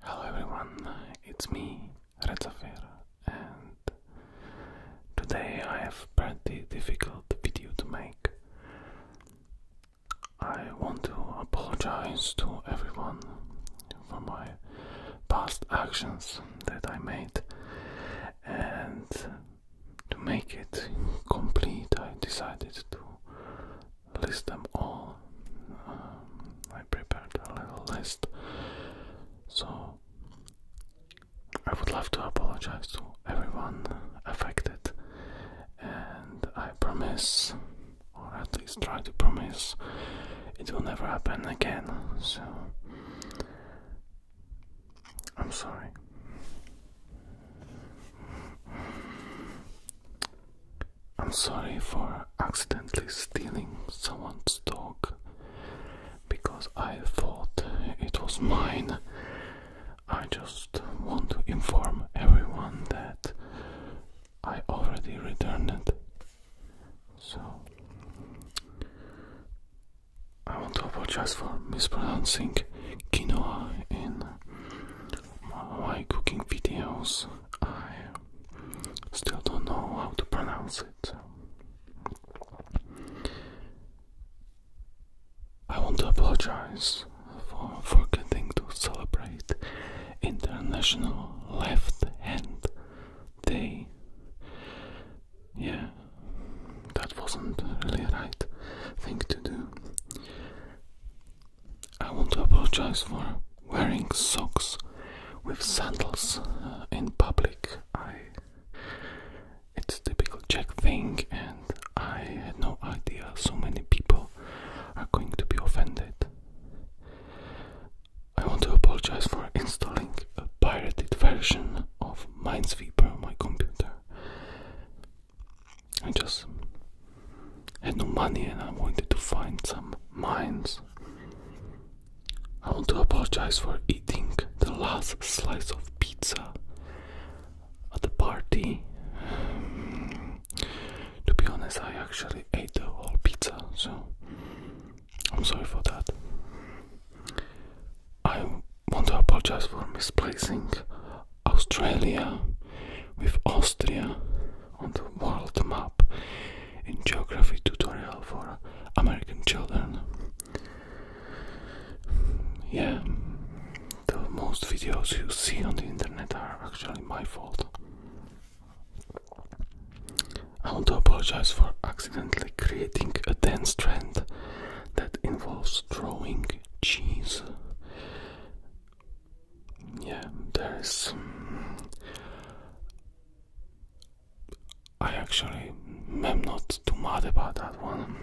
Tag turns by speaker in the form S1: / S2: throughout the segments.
S1: Hello everyone, it's me, Redzafir, and today I have pretty difficult video to make. I want to apologize to everyone for my past actions that I made and to make it complete I decided to list them all. Um, I prepared a little list, so I would love to apologize to everyone affected, and I promise, or at least try to promise, it will never happen again. So I'm sorry. I'm sorry for accidentally stealing someone's dog because I thought it was mine. I just want to inform everyone that I already returned it. So I want to apologize for mispronouncing quinoa in my cooking videos. I still don't know how to pronounce it. I want to apologize for forgetting to celebrate International Left Hand Day. Yeah, that wasn't really a right thing to do. I want to apologize for wearing socks with sandals uh, in public. I it's a typical Czech thing and I had no idea so many people are going to be offended. I want to apologize for installing a pirated version of Minesweeper on my computer. I just had no money and I wanted to find some mines. I want to apologize for eating the last slice of pizza at the party. to be honest, I actually ate the whole pizza, so I'm sorry for that. I want to apologize for misplacing Australia with Austria on the world map in geography tutorial for American children. Yeah, the most videos you see on the internet are actually my fault. I want to apologize for accidentally creating a dance trend that involves throwing cheese yeah, there's. Um, I actually am not too mad about that one.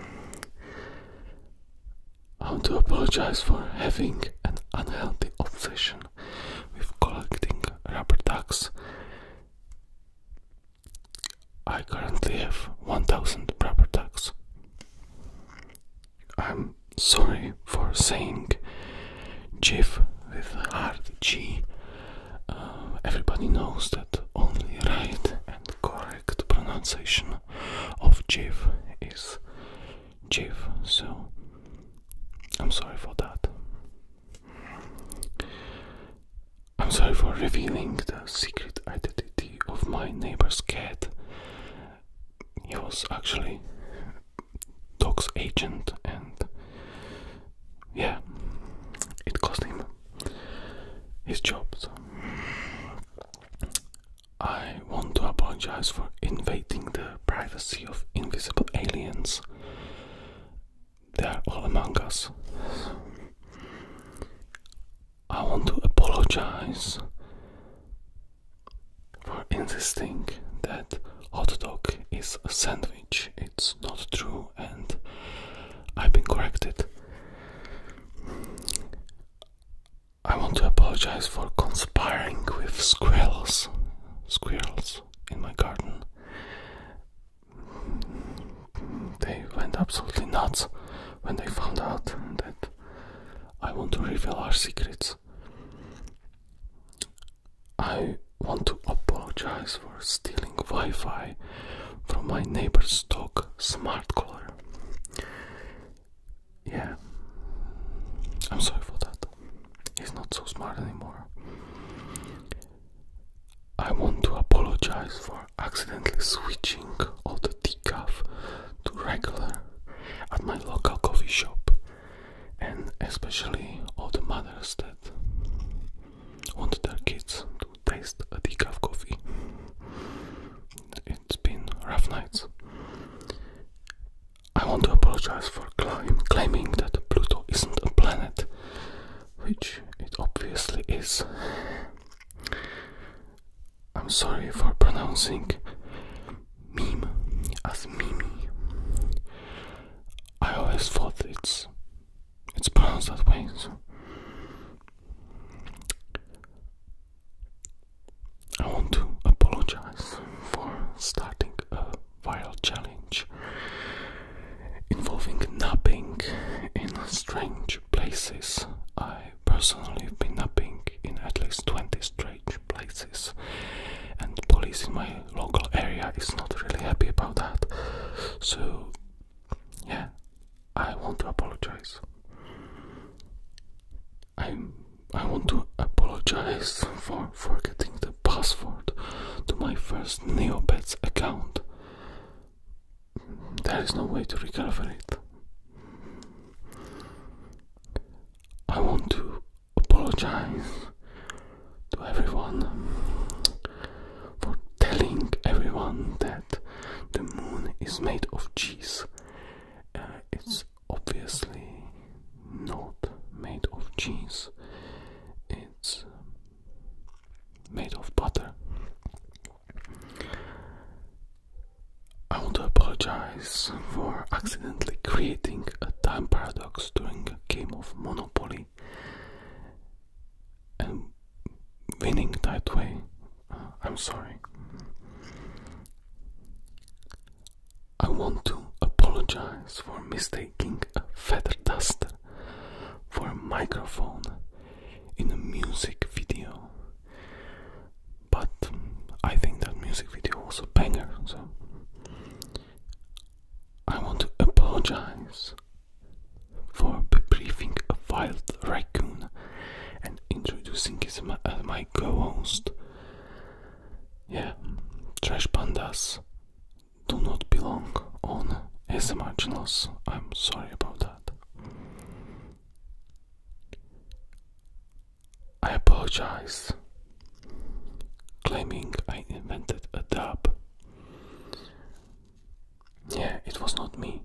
S1: I want to apologize for having an unhealthy obsession with collecting rubber ducks. I currently have 1000 rubber ducks. I'm sorry for saying GIF with hard G. Uh, everybody knows that only right and correct pronunciation of GIF is GIF, so I'm sorry for that. I'm sorry for revealing the secret identity of my neighbor's cat he was actually Doc's agent, and yeah, it cost him his job. So. I want to apologize for invading the privacy of invisible aliens. They are all among us. I want to apologize for insisting that hot dog is a sandwich. It's not true, and I've been corrected. I want to apologize for conspiring with squirrels, squirrels in my garden. They went absolutely nuts when they found out that I want to reveal our secrets. I want to apologize for stealing Wi Fi from my neighbor's dog, Smart Collar. Yeah, I'm sorry for that. He's not so smart anymore. I want to apologize for accidentally switching off the decaf to regular at my local coffee shop, and especially all the mothers that want their kids to taste a decaf coffee. It's been rough nights. I want to apologize for claiming that Pluto isn't a planet, which it obviously is. I'm sorry for pronouncing meme as mimi. I always thought it's it's pronounced that way. I want to apologize for starting a viral challenge involving napping in strange places. I personally have been napping in at least 20 straight places and police in my local area is not really happy about that so yeah i want to apologize i i want to apologize for forgetting the password to my first neopets account there is no way to recover it I want to apologize to everyone for telling everyone that the moon is made of cheese. Uh, it's obviously not made of cheese, it's made of butter. I want to apologize for accidentally creating a time paradox during a game of Monopoly and winning that way. Uh, I'm sorry. I want to apologize for mistaking a feather duster for a microphone in a music video. But um, I think that music video was a banger, so I want to apologize for briefing a wild raccoon and introducing as uh, my co-host. Yeah, trash pandas do not belong on ASMR channels. I'm sorry about that. I apologize, claiming I invented a dub. Yeah, it was not me.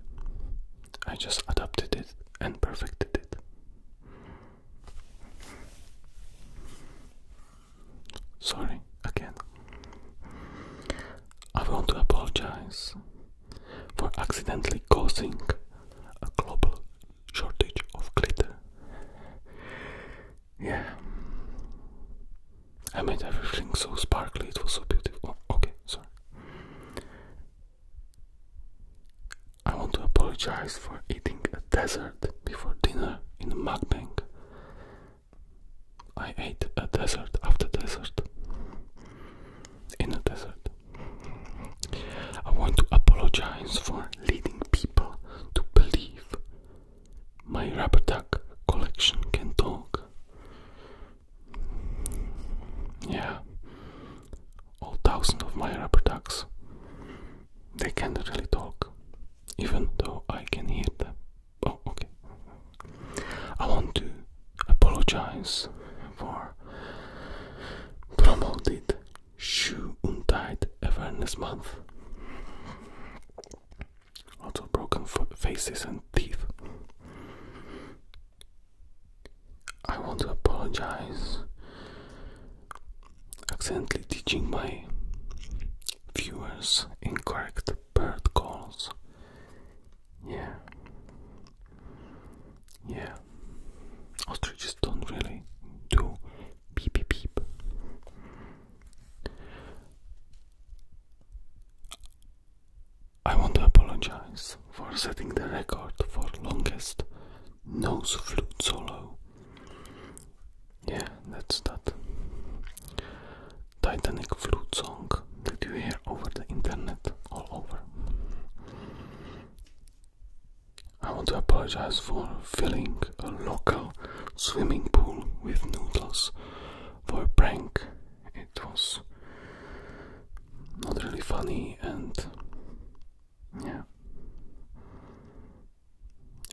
S1: I just adapted it and perfected it. Sorry again. I want to apologize for accidentally causing a global shortage of glitter. Yeah. I made everything so sparkly, it was so beautiful. Oh, okay, sorry. I want to apologize for eating a dessert before dinner in a mukbang. I ate a dessert after desert. In a desert. I want to apologize for leading people to believe my rubber duck collection can talk. Yeah, all thousands of my rubber ducks. They can't really talk, even though I can hear them. Oh, okay. I want to apologize for promoting. Shoe Untied Awareness Month. Also, broken faces and teeth. I want to apologize. Accidentally teaching my viewers incorrect bird calls. Yeah, yeah, ostriches don't really do beep beep beep. I want to apologize for setting the record for longest nose flute solo. Yeah, that's that Titanic flute song that you hear over the internet all over. I want to apologize for filling a local swimming pool with noodles for a prank. It was not really funny and yeah.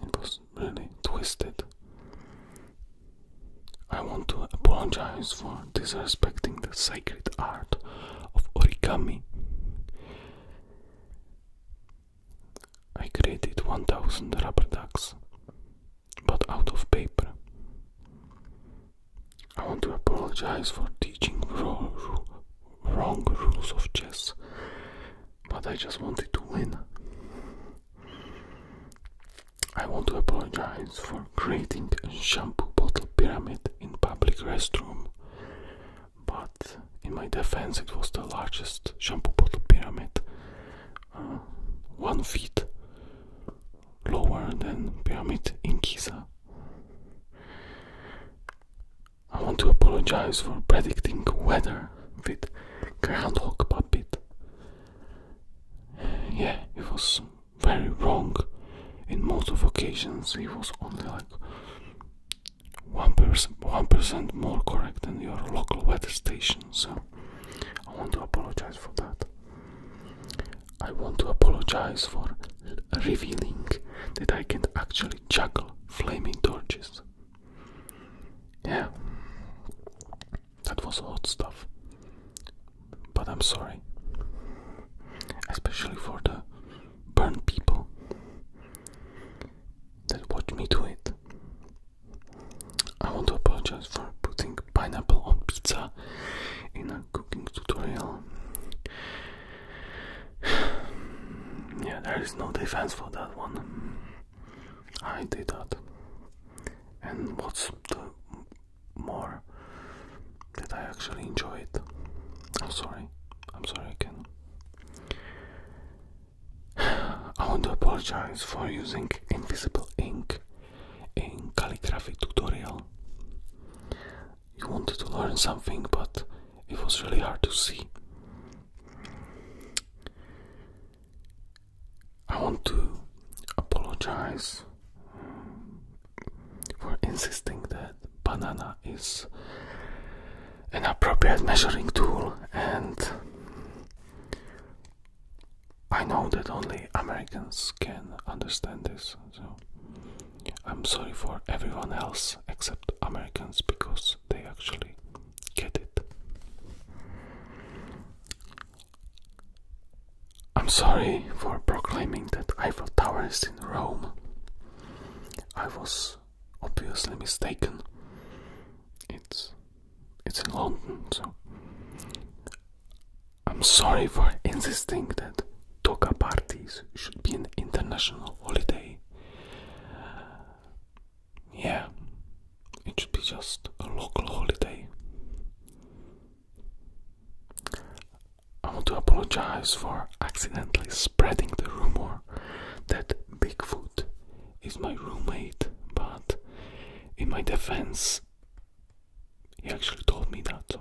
S1: It was really twisted. I want to apologize for disrespecting the sacred art of origami I created 1000 rubber ducks, but out of paper. I want to apologize for teaching wrong rules of chess, but I just wanted to win. I want to apologize for creating a shampoo bottle pyramid in public restroom but in my defense, it was the largest shampoo bottle pyramid, uh, one feet lower than pyramid in Giza. I want to apologize for predicting weather with groundhog puppet. Yeah, it was very wrong. In most of occasions, it was only like one percent one percent more correct than your local weather station so I want to apologize for that. I want to apologize for revealing that I can actually juggle flaming torches. Yeah, that was hot stuff. But I'm sorry, especially for the burn people that watch me do it. I want to apologize for putting pineapple on pizza in a cooking tutorial. yeah, there is no defense for that one. I did that. And what's the more that I actually enjoy it. I'm sorry. I'm sorry again. I want to apologize for using invisible ink in calligraphy tutorial. You wanted to learn something, but it was really hard to see. I want to apologize um, for insisting that banana is an appropriate measuring tool and I know that only Americans can understand this, so I'm sorry for everyone else except Americans because they actually get it. I'm sorry for proclaiming that Eiffel Tower is in Rome. I was obviously mistaken. It's it's in London, so I'm sorry for insisting that Toca parties should be an international holiday. Yeah, it should be just a local holiday. I want to apologize for accidentally spreading the rumor that Bigfoot is my roommate, but in my defense, he actually told me that.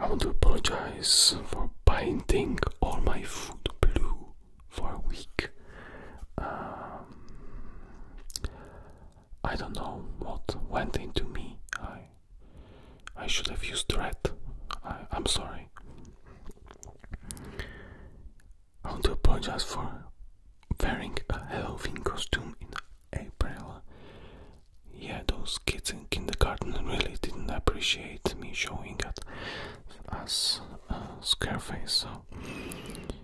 S1: I want to apologize for painting all my food blue for a week. Um, I don't know what went into me. I should have used red. I, am sorry. I want to apologize for wearing a Halloween costume in April. Yeah, those kids in kindergarten really didn't appreciate me showing up as a Scarface, so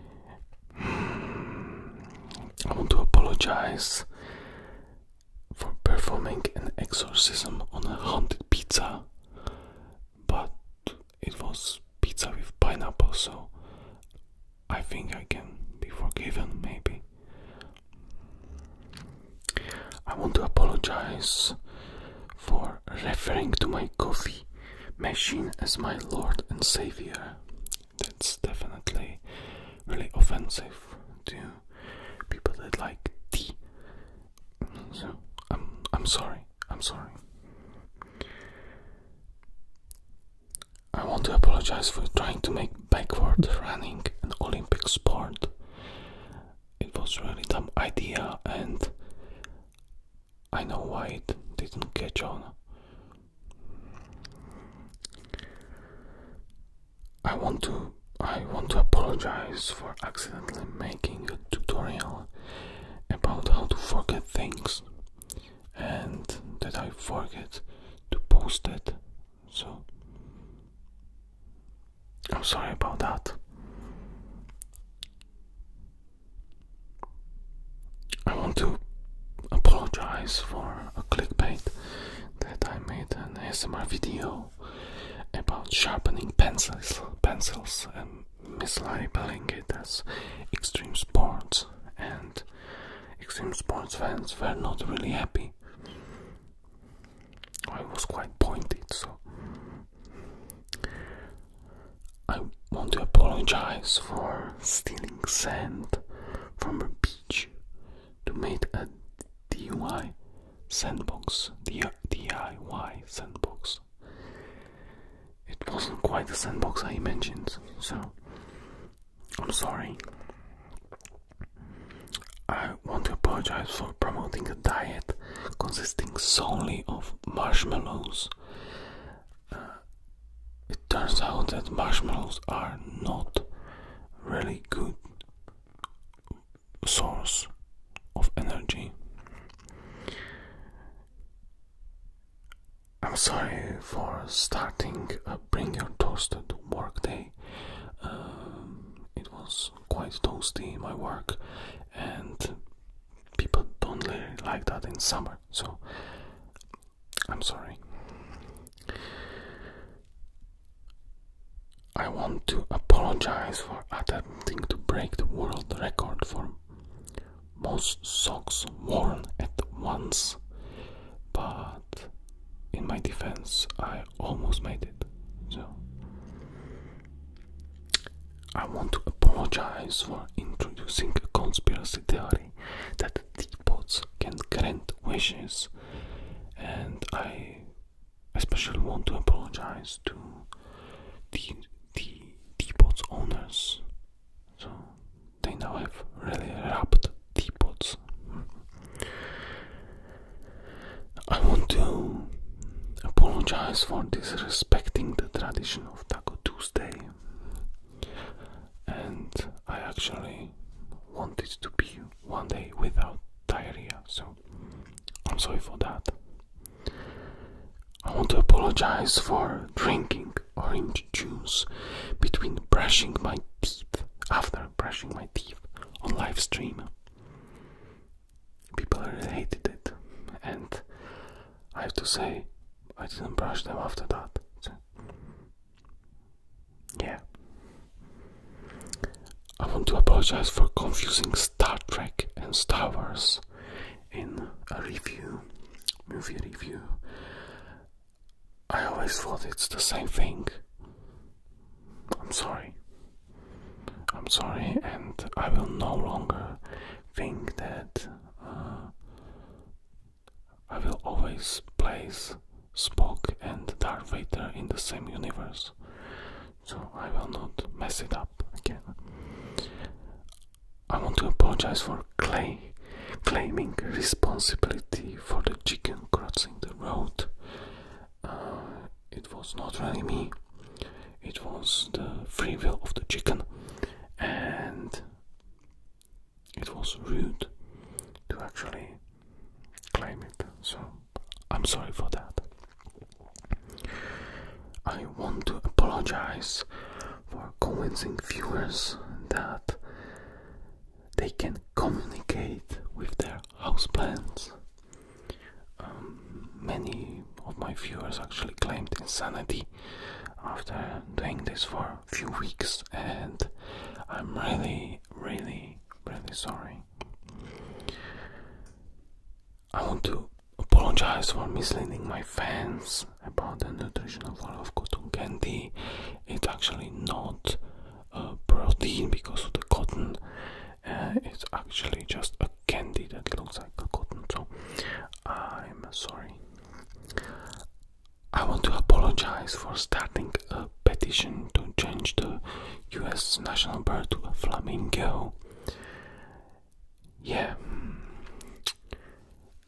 S1: I want to apologize for performing an exorcism on a haunted pizza, but it was pizza with pineapple, so I think I can be forgiven, maybe. I want to apologize for referring to my coffee machine as my Lord and Savior. That's definitely really offensive to people that like tea. So I'm I'm sorry. I'm sorry. I want to apologize for trying to make backward running an Olympic sport. It was really dumb idea and I know why it didn't catch on. I want to I want to apologize for accidentally making a tutorial about how to forget things and that I forget to post it. So I'm sorry about that. I want to apologize for a clickbait that I made an ASMR video about sharpening pencils, pencils and mislabeling it as extreme sports, and extreme sports fans were not really happy. I was quite pointed, so I want to apologize for stealing sand from a beach to make a DIY sandbox. DIY sandbox. It wasn't quite the sandbox I imagined, so I'm sorry. I want to apologize for promoting a diet consisting solely of marshmallows. Uh, it turns out that marshmallows are not really good source of energy. I'm sorry for starting a bring your toasted work day. Um, it was quite toasty in my work, and people don't really like that in summer. So I'm sorry. I want to apologize for attempting to break the world record for most socks worn at once, but in my defense, I almost made it. So, I want to apologize for introducing a conspiracy theory. That the teapots can grant wishes, and I especially want to apologize to the the teapots owners. So they now have really rubbed teapots. I want to apologize for disrespecting the tradition of Taco Tuesday and I actually wanted to be one day without diarrhea, so I'm sorry for that. I want to apologize for drinking orange juice between brushing my teeth, after brushing my teeth on live stream. People hated it, and I have to say, I didn't brush them after that. Yeah. I want to apologize for confusing Star Trek and Star Wars in a review, movie review. I always thought it's the same thing. I'm sorry. I'm sorry, and I will no longer think that uh, I will always place Spock and Darth Vader in the same universe, so I will not mess it up again. I want to apologize for claiming responsibility for the chicken crossing the road. Uh, it was not really me, it was the free will of the chicken, and it was rude to actually claim it. So I'm sorry for that. I want to apologize for convincing viewers that they can communicate with their houseplants. Um, many of my viewers actually claimed insanity after doing this for few weeks, and I'm really, really, really sorry. I want to apologize for misleading my fans about the nutritional value of cotton candy. It's actually not a protein because of the cotton. Uh, it's actually just a candy that looks like a cotton. So I'm sorry. I want to apologize for starting a petition to change the US national bird to a flamingo. Yeah,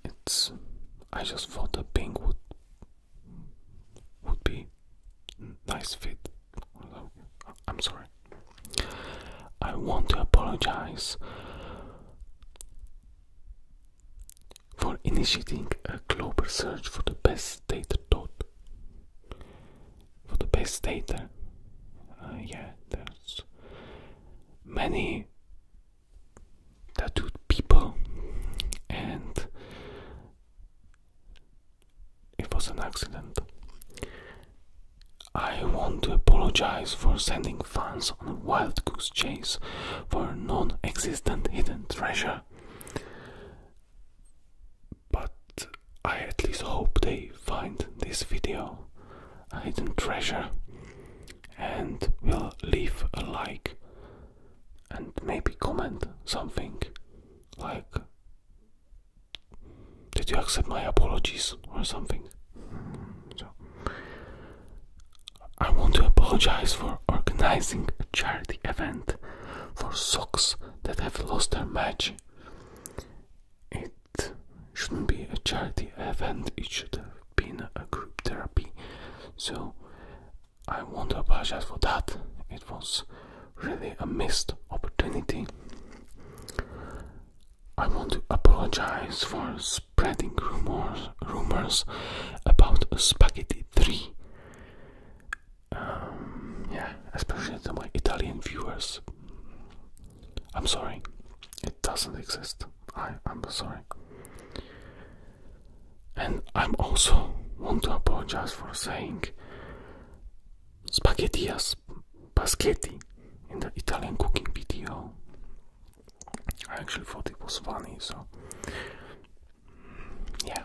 S1: it's. I just thought the pink would would be nice fit. I'm sorry. I want to apologize for initiating a global search for the best data thought. For the best data, uh, yeah, there's many tattooed people, and it was an accident. I want to apologize for sending fans on a wild goose chase for non-existent hidden treasure. But I at least hope they find this video a hidden treasure and will leave a like and maybe comment something like did you accept my apologies or something I want to apologize for organizing a charity event for socks that have lost their match. It shouldn't be a charity event, it should have been a group therapy. So I want to apologize for that. It was really a missed opportunity. I want to apologize for spreading rumors rumors about Spaghetti 3. Um, yeah, especially to my Italian viewers. I'm sorry, it doesn't exist. I, I'm sorry. And I'm also want to apologize for saying spaghettias, spaghetti in the Italian cooking video. I actually thought it was funny, so yeah,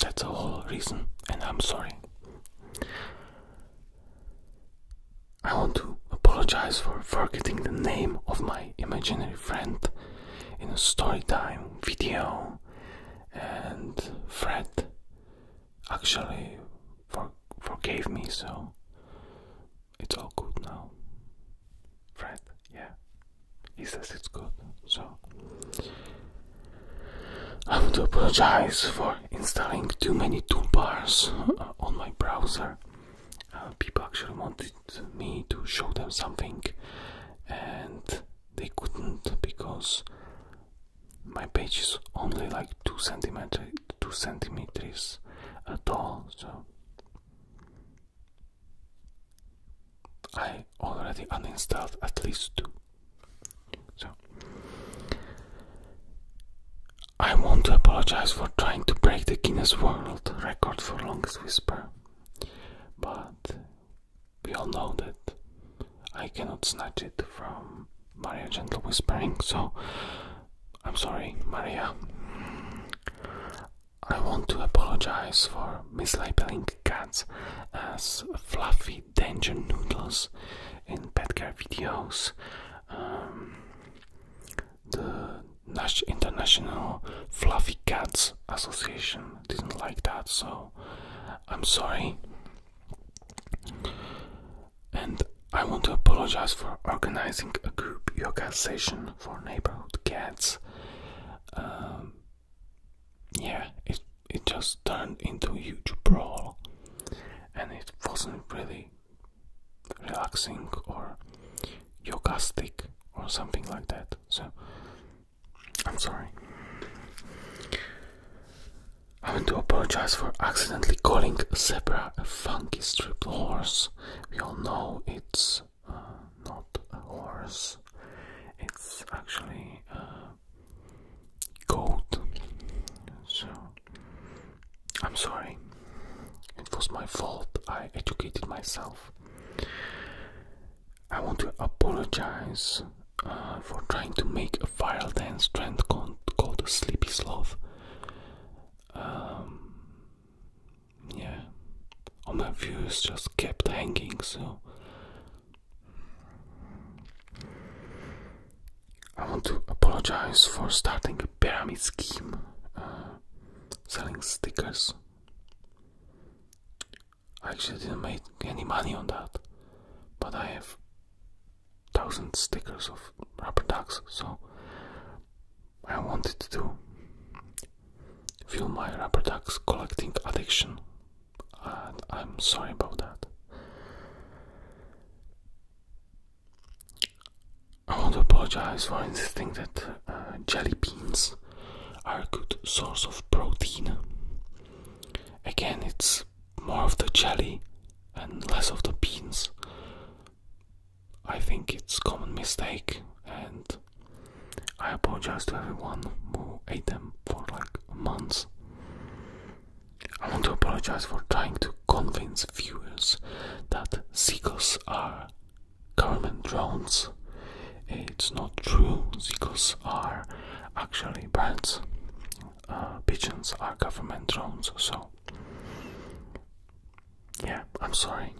S1: that's the whole reason, and I'm sorry. I want to apologize for forgetting the name of my imaginary friend in a story time video, and Fred actually forgave me, so it's all good now. Fred yeah, he says it's good. So I to apologize for installing too many toolbars uh, on my browser. Uh, people actually wanted me to show them something, and they couldn't because my page is only like two centimeter, two centimeters uh, tall. So I already uninstalled at least two. So I want to apologize for trying to break the Guinness World Record for longest whisper, but we all know that I cannot snatch it from Maria Gentle Whispering, so I'm sorry, Maria. I want to apologize for mislabeling cats as fluffy danger noodles in pet care videos. Um, the the International Fluffy Cats Association didn't like that, so I'm sorry. And I want to apologize for organizing a group yoga session for neighborhood cats. Um, yeah, it it just turned into a huge brawl, and it wasn't really relaxing or yogastic or something like that. So I'm sorry. I want to apologize for accidentally calling zebra a funky striped horse. We all know it's not a horse, it's actually a goat. So, I'm sorry, it was my fault. I educated myself. I want to apologize uh, for trying to make a viral dance trend called, Sleepy Sloth. Um, yeah, all my views just kept hanging, so I want to apologize for starting a pyramid scheme uh, selling stickers. I actually didn't make any money on that, but I have thousand stickers of rubber ducks, so I wanted to feel my rubber ducks collecting addiction, and I'm sorry about that. I want to apologize for insisting that uh, jelly beans are a good source of protein. Again, it's more of the jelly and less of the beans. I think it's common mistake and I apologize to everyone who ate them for like months. I want to apologize for trying to convince viewers that seagulls are government drones. It's not true. Seagulls are actually birds. Uh, pigeons are government drones, so yeah, I'm sorry.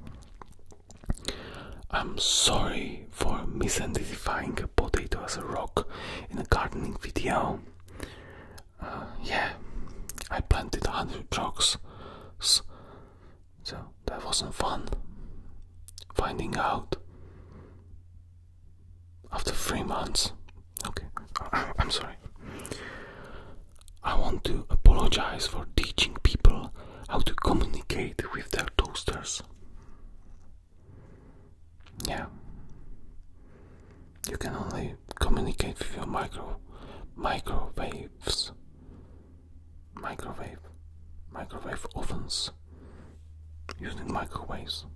S1: I'm sorry for misidentifying a potato as a rock in a gardening video. Uh, yeah, I planted 100 rocks, so that wasn't fun. Finding out after three months. Okay, I'm sorry. I want to apologize for teaching people how to communicate with their toasters. Yeah. You can only communicate with your micro microwaves. Microwave. Microwave ovens. Using microwaves.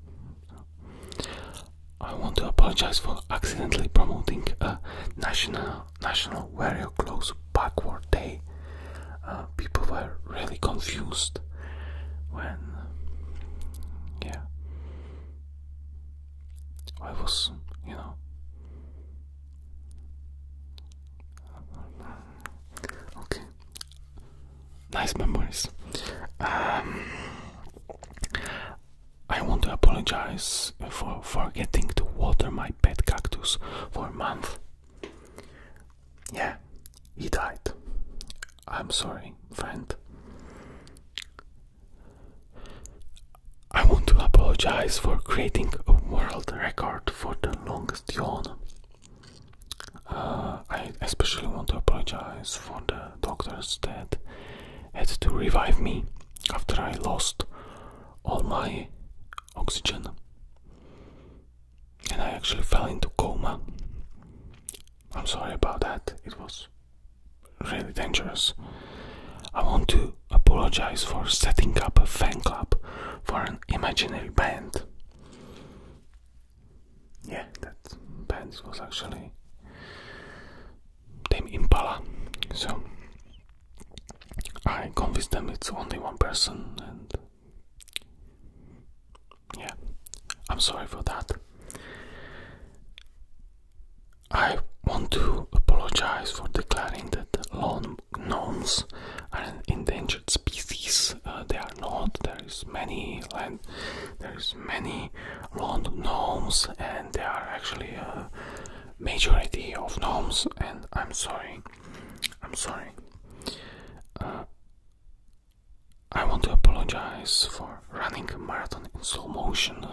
S1: I want to apologize for accidentally promoting a national National Warrior Clothes Backward Day, uh, people were really confused when, yeah, I was, you know, okay, nice memories. Um, I want to apologize for forgetting to water my pet cactus for a month. Yeah, he died. I'm sorry, friend. I want to apologize for creating a world record for the longest yawn. Uh, I especially want to apologize for the doctors that had to revive me after I lost all my oxygen and I actually fell into coma. I'm sorry about that. It was really dangerous. I want to apologize for setting up a fan club for an imaginary band. Yeah, that band was actually Tame Impala. So I convinced them it's only one person, and yeah, I'm sorry for that. I want to apologize for declaring that lawn gnomes are endangered species. Uh, they are not. There is many land, there is many lawn gnomes, and they are actually a majority of gnomes. And I'm sorry. I'm sorry. Uh, I want to apologize for running a marathon in slow motion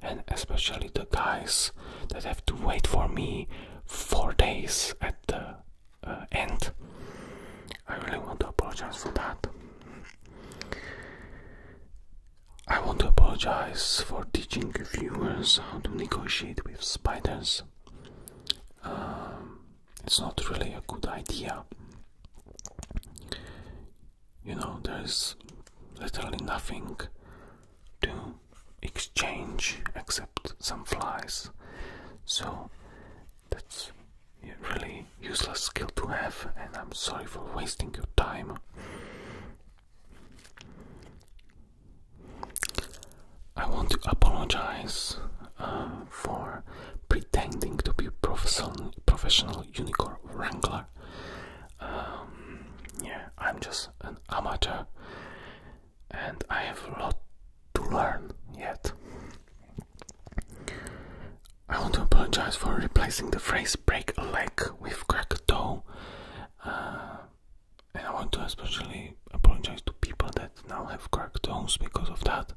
S1: and especially the guys that have to wait for me for days at the uh, end. I really want to apologize for that. I want to apologize for teaching Viewers, how to negotiate with spiders. Um, it's not really a good idea. You know, there's literally nothing to exchange except some flies. So that's a really useless skill to have, and I'm sorry for wasting your time. I want to apologize uh, for pretending to be professional professional unicorn wrangler. Um, yeah, I'm just an amateur, and I have a lot to learn yet. I want to apologize for replacing the phrase "break a leg" with "crack a toe." Uh, and I want to especially apologize to people that now have cracked toes because of that.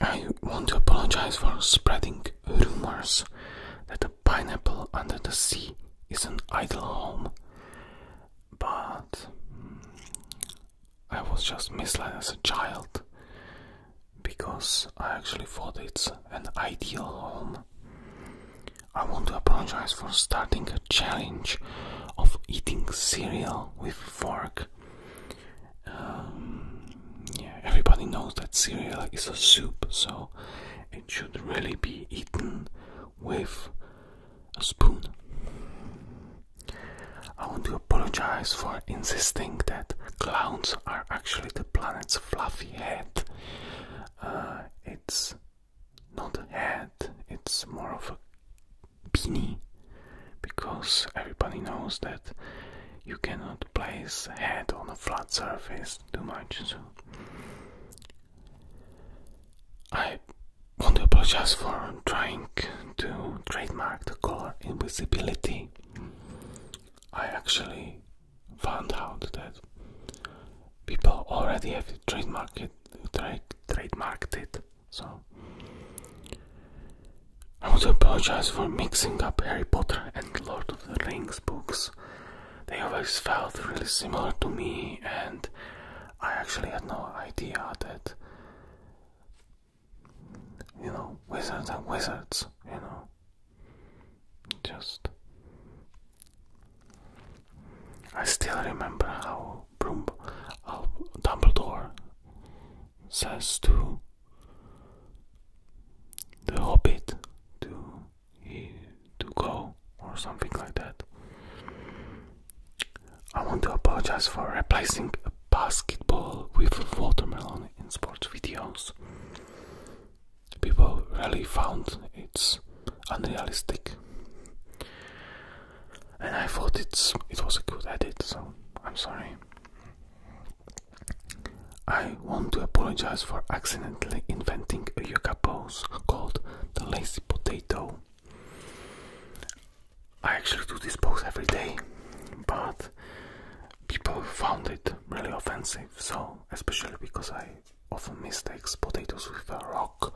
S1: I want to apologize for spreading rumors that a pineapple under the sea is an ideal home, but mm, I was just misled as a child because I actually thought it's an ideal home. I want to apologize for starting a challenge of eating cereal with fork. Um, everybody knows that cereal is a soup, so it should really be eaten with a spoon. I want to apologize for insisting that clowns are actually the planet's fluffy head. Uh, it's not a hat, it's more of a beanie because everybody knows that you cannot place a hat on a flat surface too much. So I want to apologize for trying to trademark the color invisibility. I actually found out that people already have trademarked it, trademarked it. So I want to apologize for mixing up Harry Potter and Lord of the Rings books. They always felt really similar to me, and I actually had no idea that you know wizards are wizards. You know, just. I still remember how Broom Dumbledore says to the Hobbit to to go or something like that. I want to apologize for replacing a basketball with a watermelon in sports videos people really found it's unrealistic. And I thought it's it was a good edit, so I'm sorry. I want to apologize for accidentally inventing a yoga pose called the lazy potato. I actually do this pose every day, but people found it really offensive, so especially because I often mistakes potatoes with a rock,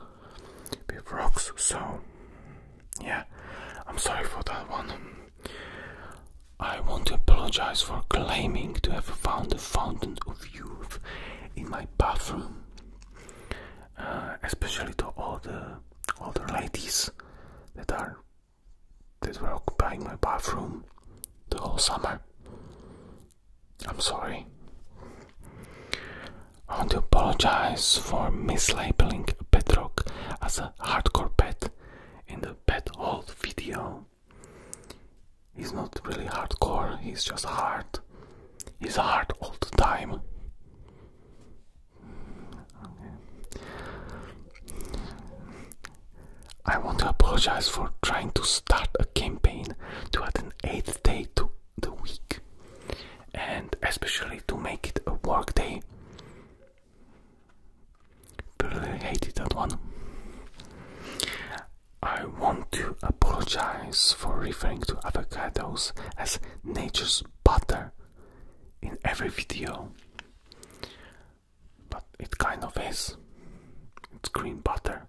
S1: with rocks. So, yeah, I'm sorry for that one. I want to apologize for claiming to have found the fountain of youth in my bathroom, uh, especially to all the older ladies that are that were occupying my bathroom the whole summer. I'm sorry. I want to apologize for mislabeling Bedrock as a hardcore pet in the pet hold video. He's not really hardcore, he's just hard. He's hard all the time. I want to apologize for trying to start a campaign to add an eighth day to the week and especially to make it a work day. But I hated that one. I want to apologize for referring to avocados as nature's butter in every video. But it kind of is. It's green butter.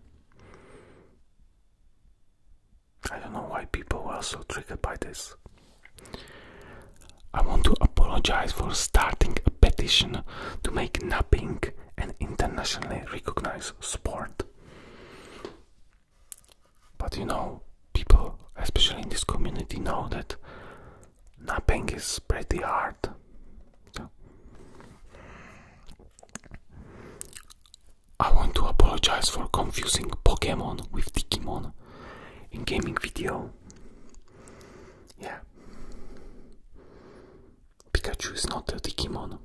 S1: I don't know why people were so triggered by this. I want to apologize for starting a petition to make napping an internationally recognized sport. But you know, people, especially in this community, know that napping is pretty hard. I want to apologize for confusing Pokemon with Digimon in gaming video. Yeah. Pikachu is not a Digimon.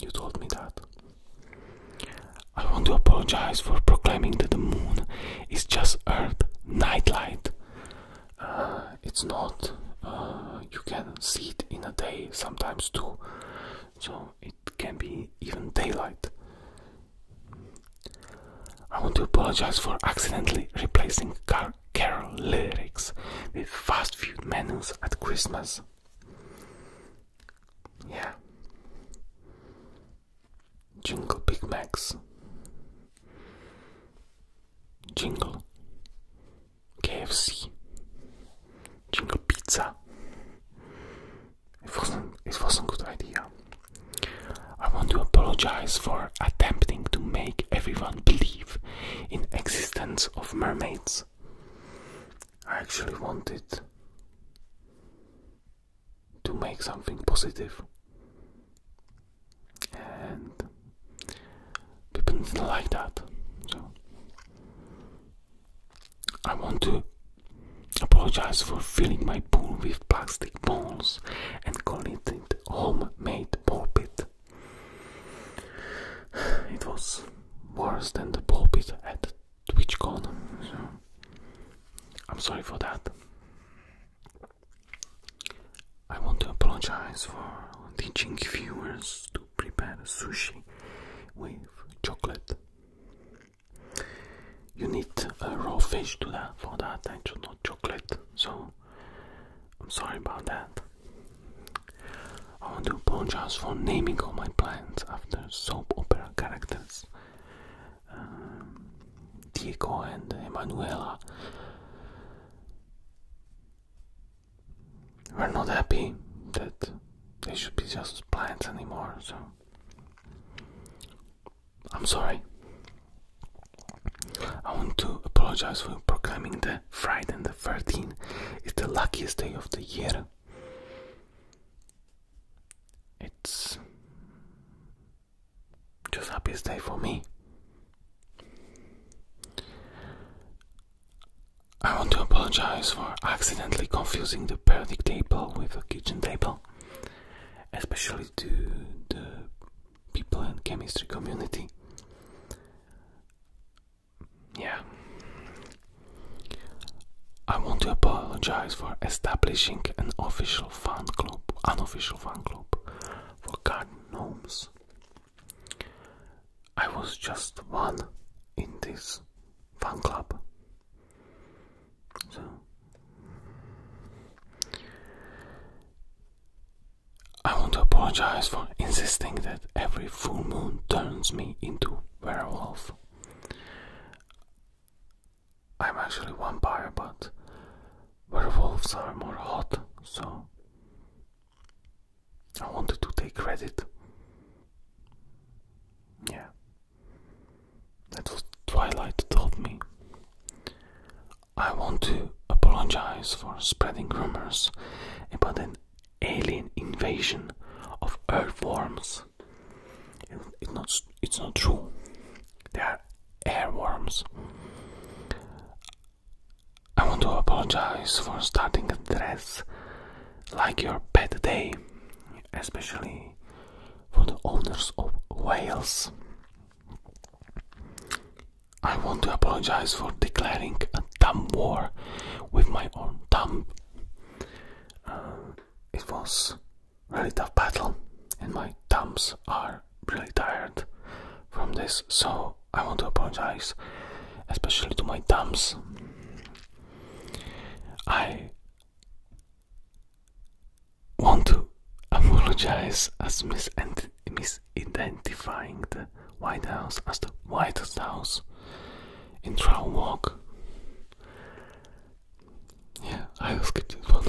S1: You told me that. I want to apologize for proclaiming that the moon is just Earth nightlight uh, it's not uh, you can see it in a day sometimes too so it can be even daylight i want to apologize for accidentally replacing carol lyrics with fast food menus at christmas yeah jingle big macs Jingle KFC Jingle Pizza. It wasn't it wasn't good idea. I want to apologize for attempting to make everyone believe in existence of mermaids. I actually wanted to make something positive and people didn't like that. So I want to apologize for filling my pool with plastic balls and calling it homemade ball pit. It was worse than the ball pit at TwitchCon. So I'm sorry for that. I want to apologize for teaching viewers to prepare sushi with chocolate. You need a raw fish to that for that, and not chocolate. So I'm sorry about that. I want to apologize for naming all my plants after soap opera characters. Um, Diego and Emanuela we're not happy that they should be just plants anymore, so I'm sorry. I want to apologize for proclaiming that Friday the 13th is the luckiest day of the year. It's just happiest day for me. I want to apologize for accidentally confusing the periodic table with a kitchen table, especially to the people in chemistry community. Yeah. I want to apologize for establishing an official fan club, unofficial fan club for garden gnomes. I was just one in this fan club. I want to apologize for insisting that every full moon turns me into werewolf. I'm actually a vampire, but where wolves are more hot, so I wanted to take credit. Yeah, that was Twilight told me. I want to apologize for spreading rumors about an alien invasion of earthworms. It's not, it's not true. They are airworms. I want to apologize for starting a dress like your bad day, especially for the owners of whales. I want to apologize for declaring a dumb war with my own dumb. Uh, it was a really tough battle, and my thumbs are are really tired from this, so I want to apologize, especially to my thumbs. I want to apologize as misidentifying the White House as the Whitest House in Troll Walk. Yeah, I was skip this one.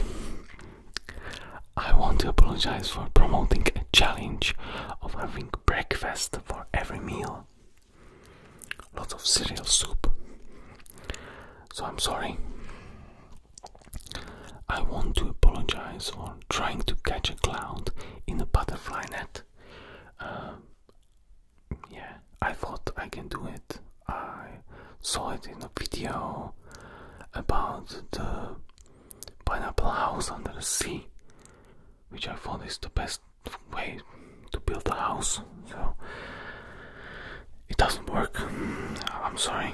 S1: I want to apologize for promoting a challenge of having breakfast for every meal. Lots of cereal soup. So I'm sorry. I want to apologize for trying to catch a cloud in a butterfly net. Um, yeah, I thought I can do it. I saw it in a video about the pineapple house under the sea, which I found is the best way to build a house. So it doesn't work. I'm sorry.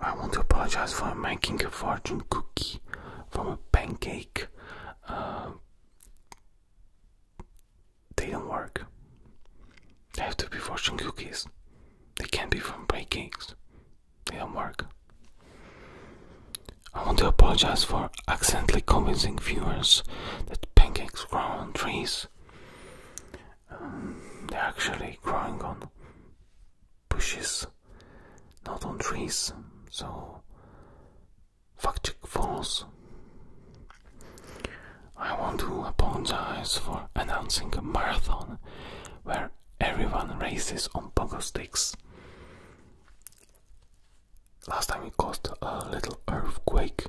S1: I want to apologize for making a fortune cookie from a pancake. Uh, they don't work. They have to be fortune cookies. They can't be from pancakes. It don't work. I want to apologize for accidentally convincing viewers that pancakes grow on trees. Um, they're actually growing on bushes, not on trees. So, fuck Chick Falls. I want to apologize for announcing a marathon where everyone races on pogo sticks. Last time it caused a little earthquake,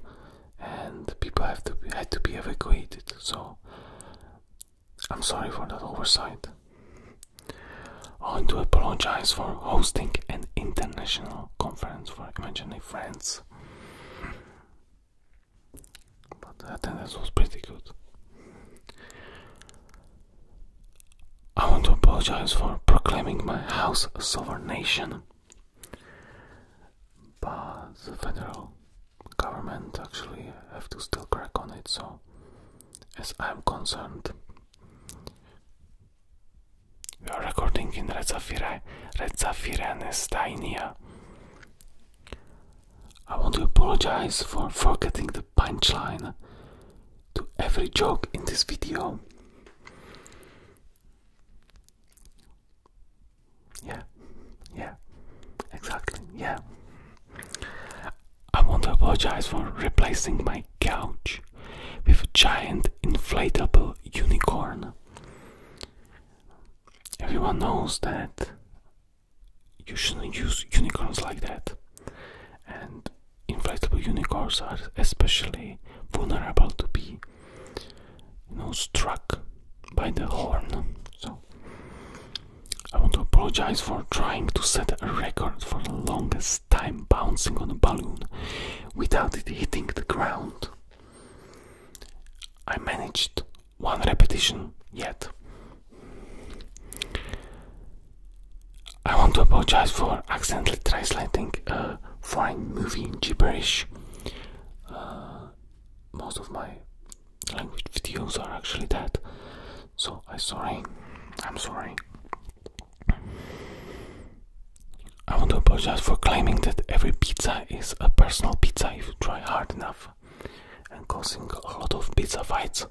S1: and people have to had to be evacuated. So I'm sorry for that oversight. I want to apologize for hosting an international conference for imaginary friends. But I think this was pretty good. I want to apologize for proclaiming my house a sovereign nation, but the federal government actually have to still crack on it. So, as I'm concerned, we are recording in Redzafire, Redzafirene, Steinia. I want to apologize for forgetting the punchline to every joke in this video. Yeah, yeah, exactly, yeah. I want to apologize for replacing my couch with a giant inflatable unicorn. Everyone knows that you shouldn't use unicorns like that. And inflatable unicorns are especially vulnerable to be you know struck by the horn. So I want to apologize for trying to set a record for the longest time bouncing on a balloon without it hitting the ground. I managed one repetition yet. I want to apologize for accidentally translating a foreign movie in gibberish. Uh, most of my language videos are actually that, so I'm sorry. I'm sorry. I want to apologize for claiming that every pizza is a personal pizza if you try hard enough and causing a lot of pizza fights.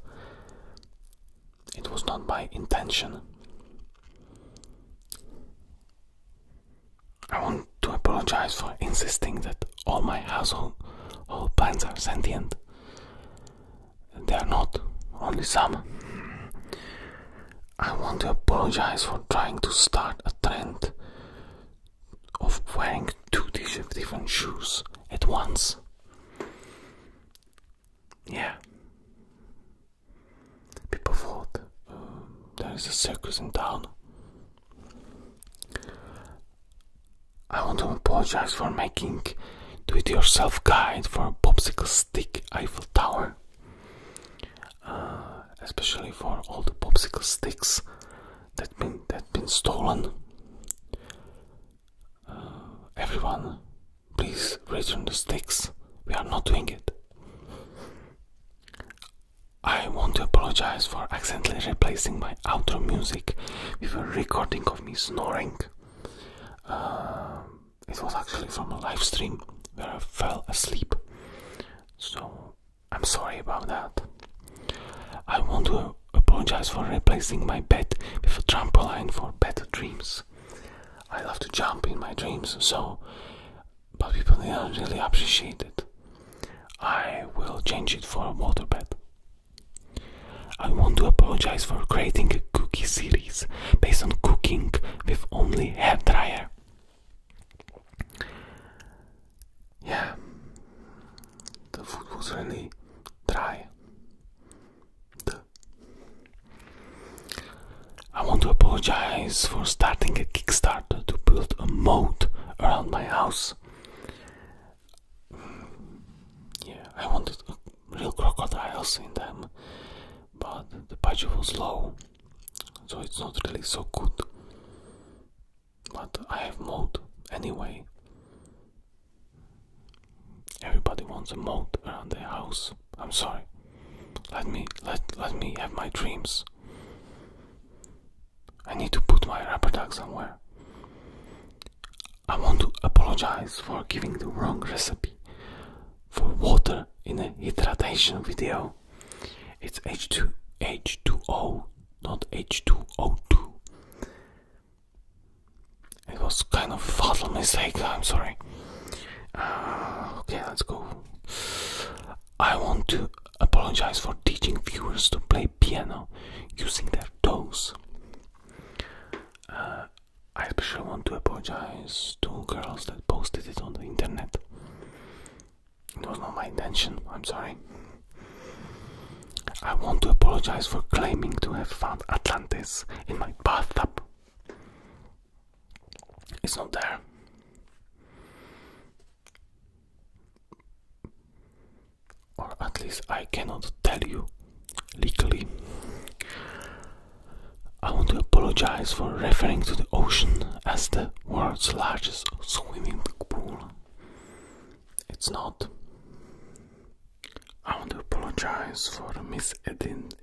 S1: It was not my intention. I want to apologize for insisting that all my household all plants are sentient. They are not, only some. I want to apologize for trying to start a trend of wearing two different shoes at once. Yeah. People thought uh, there is a circus in town. I want to apologize for making do it yourself guide for popsicle stick Eiffel Tower. Uh, especially for all the popsicle sticks that been that been stolen. Uh, everyone, please return the sticks. We are not doing it. I want to apologize for accidentally replacing my outro music with a recording of me snoring. Uh, it was actually from a live stream where I fell asleep. So I'm sorry about that. I want to to apologize for replacing my bed with a trampoline for better dreams. I love to jump in my dreams, so, but people didn't really appreciate it. I will change it for a water bed. I want to apologize for creating a cookie series based on cooking with only hair dryer yeah, the food was really dry. I want to apologize for starting a Kickstarter to build a moat around my house. Yeah, I wanted real crocodiles in them, but the budget was low, so it's not really so good. But I have mode anyway. Everybody wants a moat around their house. I'm sorry. Let me let let me have my dreams. I need to put my rubber duck somewhere. I want to apologize for giving the wrong recipe for water in a hydration video. It's H2 H2O, not H2O2. It was kind of a fatal mistake, I'm sorry. Ah, okay, let's go. I want to apologize for teaching viewers to play piano using their toes. Ah, I especially want to apologize to girls that posted it on the internet. It was not my intention, I'm sorry. I want to apologize for claiming to have found Atlantis in my bathtub. It's not there. Or at least I cannot tell you legally. I want to apologize for referring to the ocean as the world's largest swimming pool. It's not. I want to apologize for misidentifying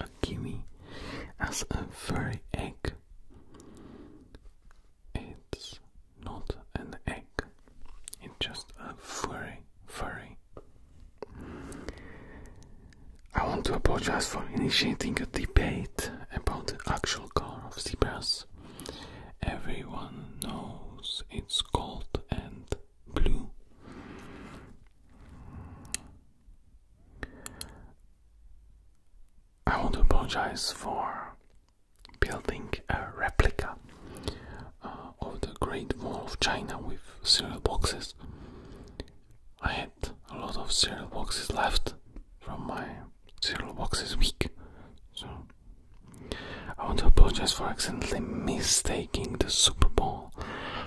S1: a kiwi as a furry egg. It's not an egg. It's just a furry, furry. I want to apologize for initiating a debate about the actual color of zebras. Everyone knows it's gold and blue. I want to apologize for building a replica uh, of the Great Wall of China with cereal boxes. I had a lot of cereal boxes left from my cereal boxes week, so I want to apologize for accidentally mistaking the Super Bowl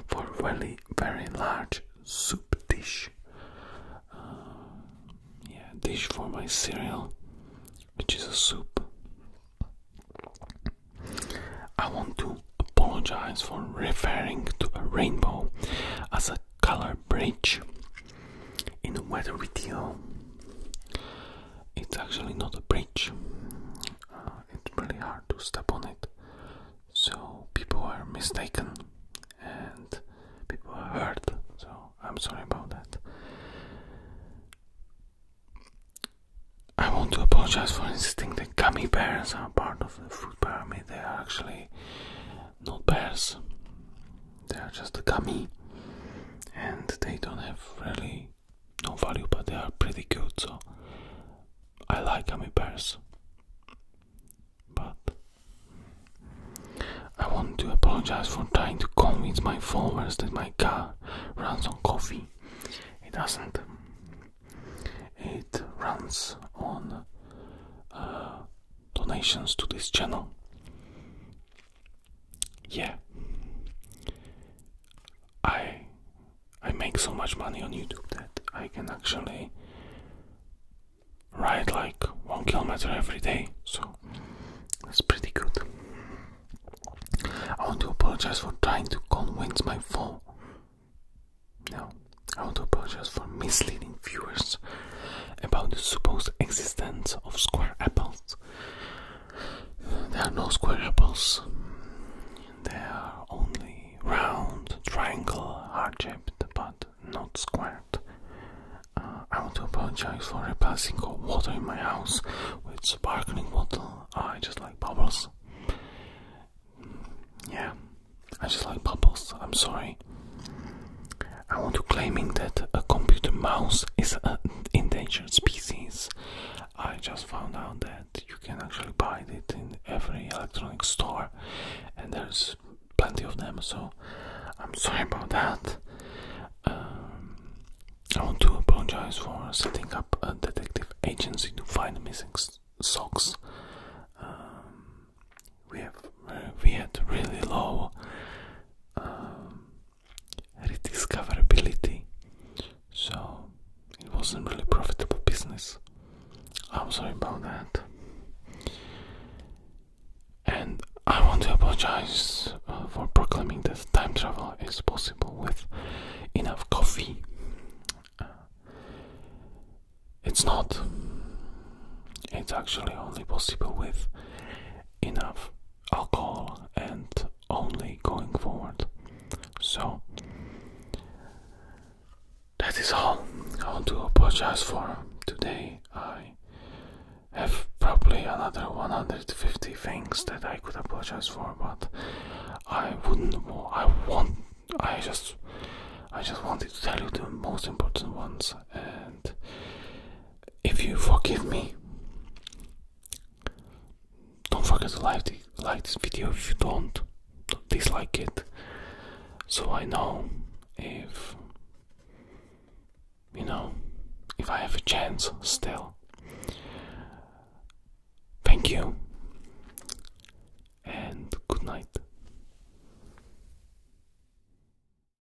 S1: for a really very large soup dish. Uh, yeah, dish for my cereal, which is a soup. I want to apologize for referring to a rainbow as a color bridge in a weather video. It's actually not a bridge. Uh, it's really hard to step on it. So people are mistaken and people are hurt. So I'm sorry about that. I want to apologize for insisting that gummy bears are part of the food pyramid. They are actually not bears. They are just a gummy and they don't have really no value, but they are pretty good. So I like gummy bears. But I want to apologize for trying to convince my followers that my car runs on coffee. It doesn't. It runs on uh, donations to this channel yeah i i make so much money on youtube that i can actually ride like one kilometer every day so that's pretty good i want to apologize for trying to convince my phone no i want to apologize for misleading viewers about the supposed existence of square apples. There are no square apples, they are only round, triangle, heart shaped, but not squared. Uh, I want to apologize for replacing water in my house with sparkling water. I just like bubbles. Yeah, I just like bubbles. I'm sorry. I want to claiming that a computer mouse is an endangered species. I just found out that you can actually buy it in every electronic store, and there's plenty of them. So I'm sorry about that. Um, I want to apologize for setting up a detective agency to find missing socks. Um, we have uh, we had really low um, rediscoverability. So it wasn't really profitable business. I'm sorry about that. And I want to apologize uh, for proclaiming that time travel is possible with enough coffee. Uh, it's not. It's actually only possible with enough alcohol and only going forward. So that is all. I want to apologize for today. I have probably another 150 things that I could apologize for, but I wouldn't. I want. I just. I just wanted to tell you the most important ones, and if you forgive me, don't forget to like, like this video if you don't dislike it, so I know if you know if I have a chance still. Thank you and good night.